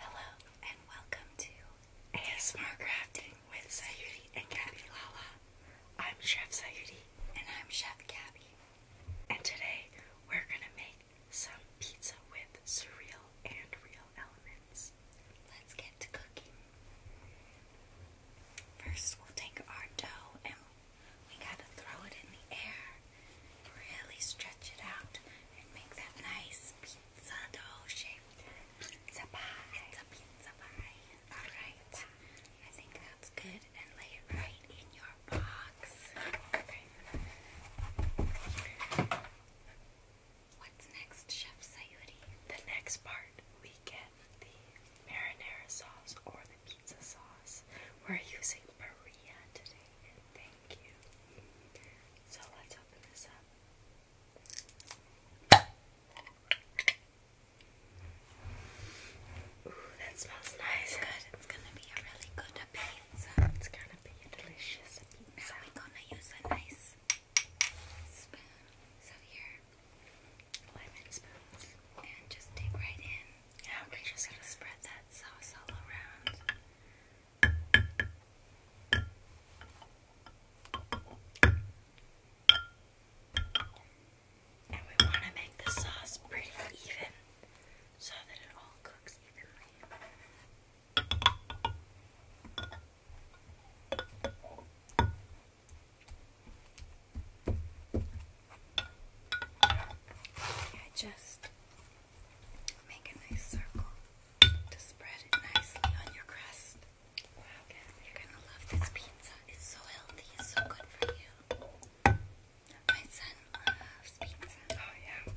Hello and welcome to ASMR Crafting with Sayuri and Gabby Lala. I'm Chef Sayuri and I'm Chef Gabby. And today we're gonna make some pizza with surreal and real elements. Let's get to cooking. First we'll take our dough and we gotta throw it in the air. Really stretch it out and make that nice pizza dough shape. Pizza pie. It's a pizza pie. Alright. I think that's good. And lay it right in your box. Okay. What's next, Chef Sayuri? The next part, we get the marinara sauce or the pizza sauce. We're using Berea today. Thank you. So let's open this up. Ooh, that smells nice. Good. It's gonna be a really good pizza. It's gonna be delicious Now we're gonna use a nice spoon. So here, lemon spoons, and just dig right in. Now we're just gonna spread that sauce all around. And we want to make the sauce pretty even so that it all cooks evenly. I just make a nice circle to spread it nicely on your crust. you're gonna love this pizza. It's so healthy, it's so good for you. My son loves pizza. Oh yeah.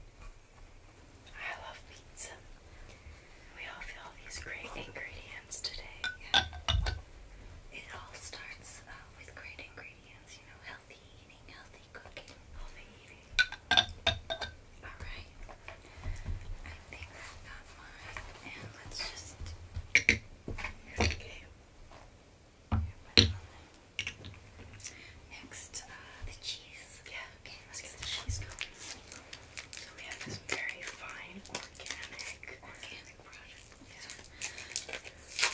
I love pizza. We all feel these great ingredients today. It all starts uh, with great ingredients ingredients, you healthy eating, healthy cooking, Alright. I think I got mine. And let's just okay. Next, uh, the cheese. Yeah. Okay, let's get the cheese going. So we have this very fine organic, organic product.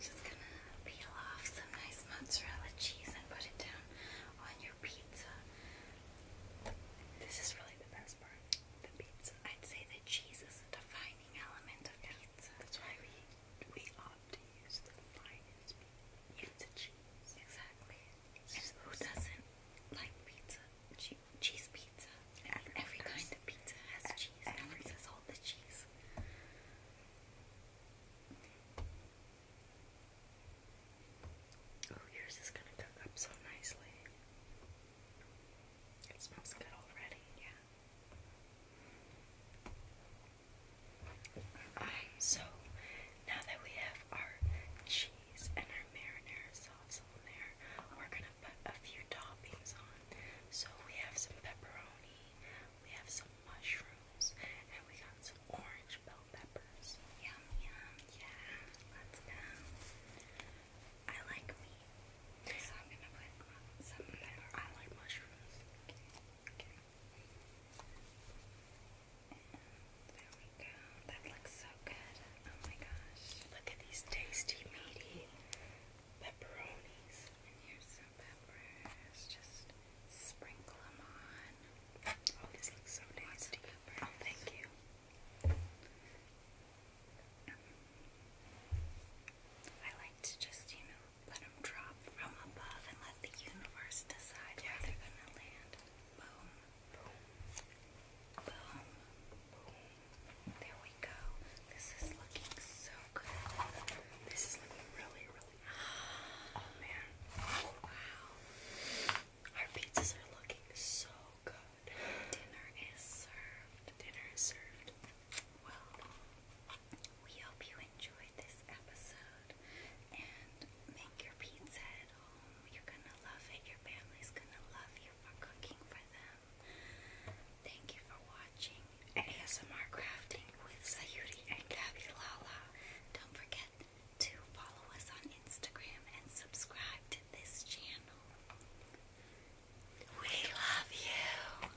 just gonna peel off some nice mozzarella cheese and put it down on your pizza. This is really the best part. The pizza. I'd say that cheese is the defining element of pizza. That's why we we ought to use the finest pizza cheese. Exactly. who doesn't like pizza? Cheese pizza. Every, kind of pizza has cheese. Everyone says all the cheese. Oh, yours is gonna cook up so nicely. It smells good already, yeah. Alright, so now that we have our cheese and our marinara sauce on there, we're gonna put a few toppings on. So we have some pepperoni, we have some mushrooms, and we got some orange bell peppers. Yum yum, yeah, let's go. I like meat, so I'm gonna put some pepper. I like mushrooms. There we go. That looks so good. Oh my gosh. Look at these tasty meaty pepperonis. And here's some Just sprinkle them on. Oh, this looks so nasty. Oh, thank you. I like to just, you know, let them drop from above and let the universe decide yeah. they're gonna land. Boom. Boom. Boom. There we go. This is looking so good. This is looking really, really Oh man. Wow. Our pizzas are looking so good. Dinner is served. Dinner is served. Well, we hope you enjoyed this episode and make your pizza at home. You're gonna love it. Your family's gonna love you for cooking for them. Thank you for watching ASMR Crafting with Sayuri and Gabby Lala. Don't forget to follow us on Instagram and subscribe to this channel. We love you!